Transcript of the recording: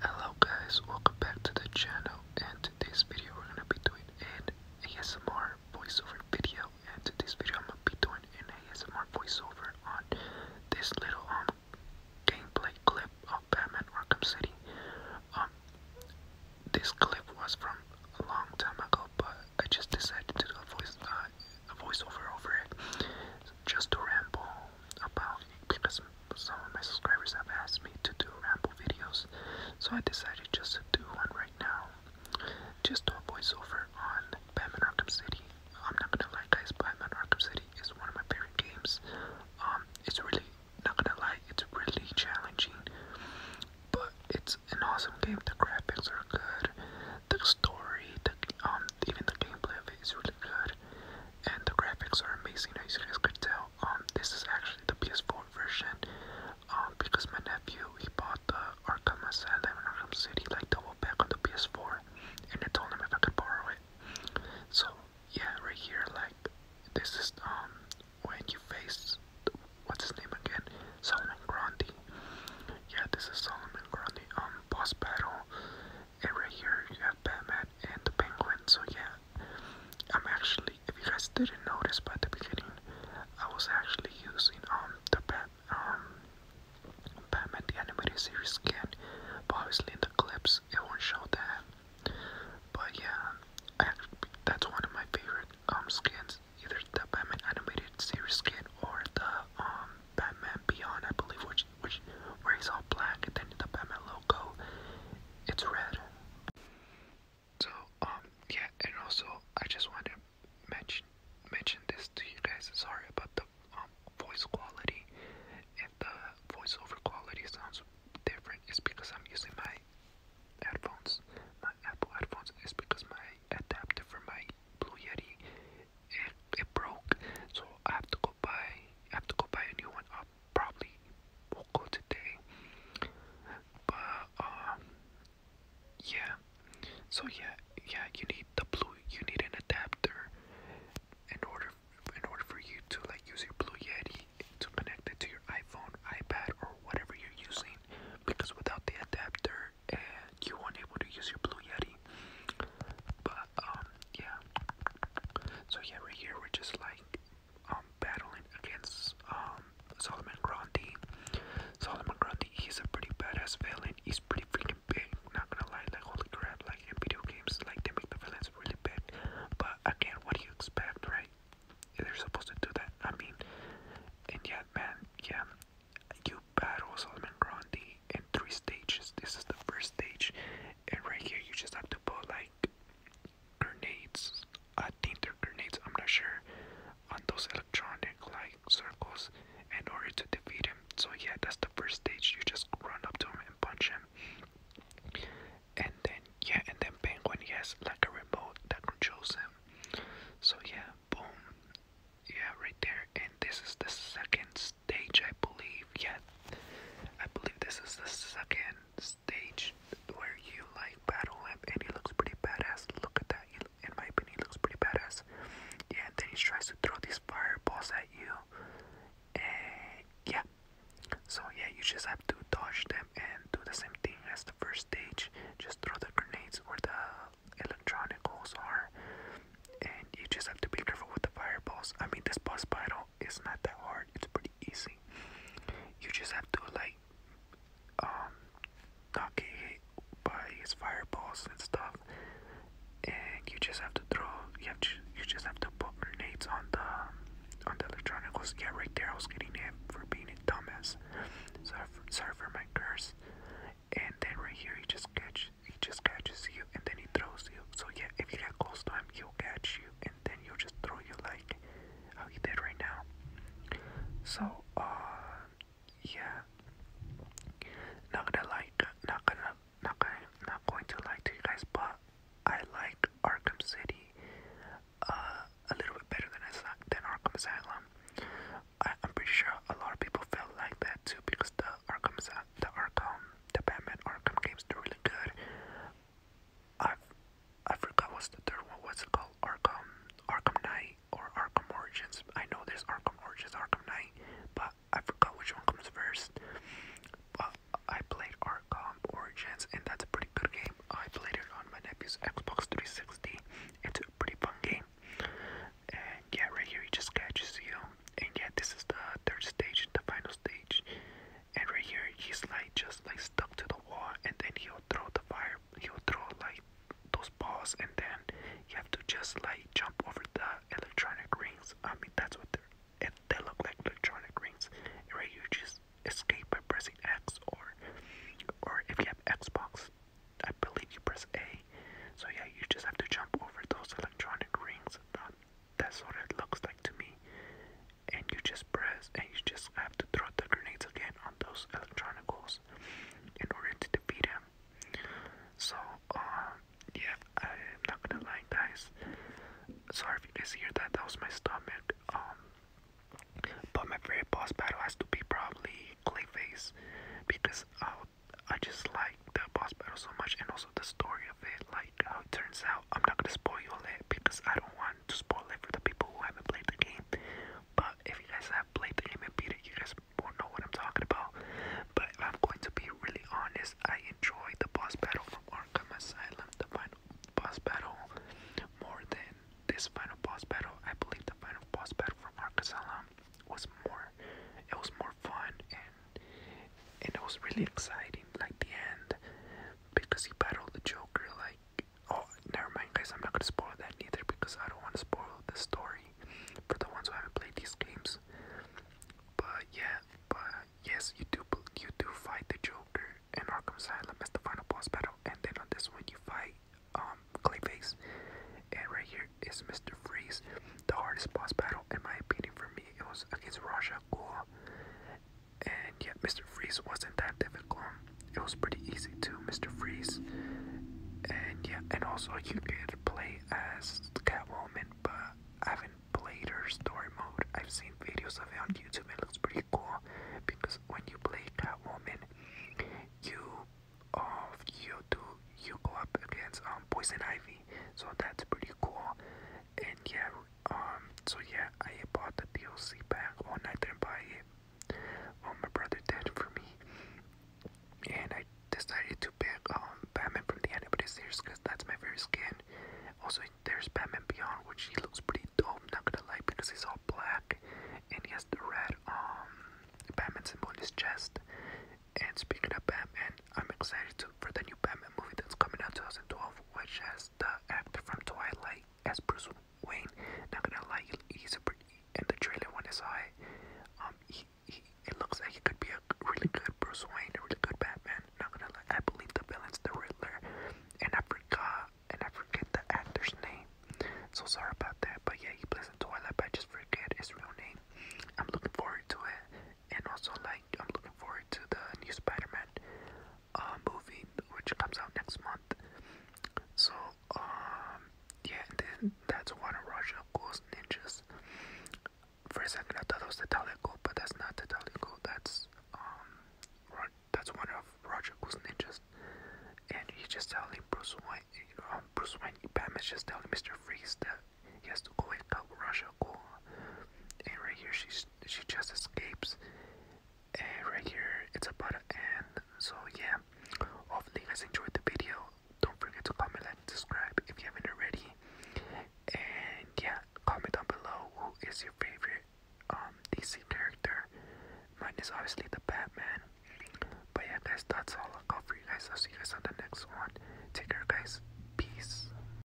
Hello guys, welcome back to the channel and today's video we're gonna be doing an ASMR voiceover video and today's video I'm gonna be doing an ASMR voiceover on this little um, gameplay clip of Batman Arkham City. Um, this clip was from a long time ago but I just decided to do a uh, voiceover over it just to ramble about because some of my subscribers have asked me to do ramble videos, so I decided just to do one right now. Just do a voiceover on Batman Arkham City. I'm not gonna lie guys, Batman Arkham City is one of my favorite games. Um, it's really, not gonna lie, it's really challenging. But it's an awesome game, the graphics are good, the story, the, um, even the gameplay is really good and the graphics are amazing as you guys could tell. Um, this is actually the PS4 version. Um, because my nephew he bought the Arkham Asylum and Arkham City like double back on the PS4, and I told him if I could borrow it. So yeah, right here, like this is um when you face what's his name again, Solomon Grundy. Yeah, this is Solomon Grundy. Um, boss battle and right here you have Batman and the Penguin. So yeah, I'm actually, if you guys didn't notice by the beginning, I was actually using um the Bat um Batman the animated series skin, but obviously in the clips it won't show that. But yeah, that's one of my favorite um skins, either the Batman animated series skin or the um Batman Beyond, I believe, which which where he's all black and then the Batman logo it's red. So um yeah and also I just wanted mention mention this to you guys. Sorry about the um voice quality and the voiceover quality sounds different is because I'm using my headphones. My Apple headphones is because my adapter for my Blue Yeti it, it broke, so I have to go buy I have to go buy a new one off I probably will go today. But um, yeah. So yeah, yeah. You need the blue. You need an adapter in order in order for you to like use your Blue Yeti to connect it to your iPhone, iPad, or whatever you're using. Because without the adapter, eh, you won't able to use your Blue Yeti. But um yeah. So yeah, right here we're just like um battling against um Solomon Grundy. Solomon Grundy, he's a pretty badass villain. He's pretty freaking big. Not gonna lie, like holy crap, like in video games, like they make the villains really big. But again, what do you expect, right? They're supposed to do that. I mean, and yet, man, yeah, you battle Solomon Grundy in three stages. This is the first stage, and right here you just have to put like grenades, I think they're grenades, I'm not sure, on those electronic like circles in order to defeat him. So yeah, that's the first stage. You just run up to him and punch him. And then yeah, and then Penguin he has like a remote that controls him. So yeah, boom. Yeah, right there. And this is the second stage, I believe. Yeah, I believe this is the second stage where you like battle him, and he looks pretty badass. Look at that. in my opinion, he looks pretty badass. Yeah, and then he tries to throw these fireballs at you, and yeah. So yeah, you just have to dodge them and do the same thing as the first stage. Just throw the grenades where the electronic holes are, and you just have to be careful with the fireballs. I mean, this boss battle it's not that hard. It's pretty easy. You just have to like um not get hit by his fireballs and stuff, and you just have to throw. You have to, you just have to put grenades on the on the electronicals. Yeah, right there. I was getting hit for being a dumbass. Sorry for, sorry for my curse. And then right here, he just catches. he just catches you, and then he throws you. So yeah, if you get close to him, he'll catch you and then you just throw you like how you did right now. So uh yeah. Not gonna like not gonna not gonna not going to lie you guys but I like Arkham City uh a little bit better than I than Arkham Asylum. I, am pretty sure a lot of people felt like that too because the Arkham the Arkham the Batman Arkham games are really good. I've, I forgot what's the third one. What's it called? Arkham, Arkham Knight, or Arkham Origins. I know there's Arkham Origins, Arkham Knight, but I forgot which one comes first. But I played Arkham Origins, and that's a pretty good game. I played it on my nephew's Xbox 360. It's a pretty fun game. And yeah, right here he just catches you. And yeah, this is the third stage, the final stage. And right here, he's like just like stuck to the wall, and then he'll throw the fire. He'll throw like those balls, and then you have to just like jump over the electronic rings. I mean, that's what they're. And they look like electronic rings. And right, you just escape by pressing X, or or if you have Xbox, I believe you press A. So yeah, you just have to jump over those electronic rings. Um, that's what it looks like to me. And you just press and you just have to throw the grenades again on those electronic electronicals in order to defeat him. So, um, yeah, I'm not gonna lie, guys. Sorry if you guys hear that. That was my stomach. Um, but my favorite boss battle has to be probably Clayface because I, uh, I just like the boss battle so much and also the story of it. Like, how uh, it turns out. I'm not gonna spoil it because I don't want to spoil it for the people who haven't played the game. But if you guys have played the game and beat it, you guys won't know what I'm talking about. But I'm going to be really honest, I enjoy the boss battle from Arkham Asylum, the final boss battle, more than this final boss battle. I believe the final boss battle from Arkham Asylum was more it was more fun and and it was really exciting, like the end, because he battled the Joker. Like, oh, never mind, guys, I'm not gonna spoil that neither because I don't want to spoil the story for the ones who haven't played these games. But yeah, but yes, you do you do fight the Joker in Arkham Asylum as the final boss battle, and then on this one you fight um Clayface, and right here is Mr. Freeze, the hardest boss battle in my opinion for me. It was against Raja Ghul, and yet, Mr. Freeze wasn't that difficult. It was pretty easy too, Mr. Freeze. And yeah, and also you can play as Catwoman, but I haven't played her story mode. I've seen videos of it on YouTube. It looks pretty cool because when you play Catwoman, you uh, you do you go up against um, Poison Ivy, so that's pretty cool. And yeah, um, so yeah, I bought the DLC back. One I didn't buy it. Oh, my brother did for me, and I decided to pick um Batman from the animated series because that's my favorite skin. Also, there's Batman Beyond, which he looks pretty dope. Not gonna lie, because he's all black and he has the red um Batman symbol on his chest. And speaking of Batman, I'm excited to for the new Batman movie that's coming out 2012, which has the actor from Twilight as Bruce Wayne. Not gonna lie, he's pretty. And the trailer when I saw it, um, he, he looks like he could be a really good Bruce Wayne, a really good Batman. Not gonna lie, I believe the villain's the Riddler, and I forgot, and I forget the actor's name. So sorry about that, but yeah, he plays in Twilight, but I just forget his real name. I'm looking forward to it and also like I'm looking forward to the new Spider-Man uh, movie which comes out next month. So um yeah, and then that's one of Russia Ghost Ninjas. For a second, I thought it was the Talico, but that's not the Talico. That's um, that's one of Roger Goose ninjas, and he's just telling Bruce Wayne, you um, Bruce Wayne, Batman's just telling Mister Freeze that he has to go and help Russia go. And right here, she's she just escapes and right here it's about to end so yeah hopefully you guys enjoyed the video don't forget to comment like and subscribe if you haven't already and yeah comment down below who is your favorite um dc character mine is obviously the batman but yeah guys that's all i got for you guys i'll see you guys on the next one take care guys peace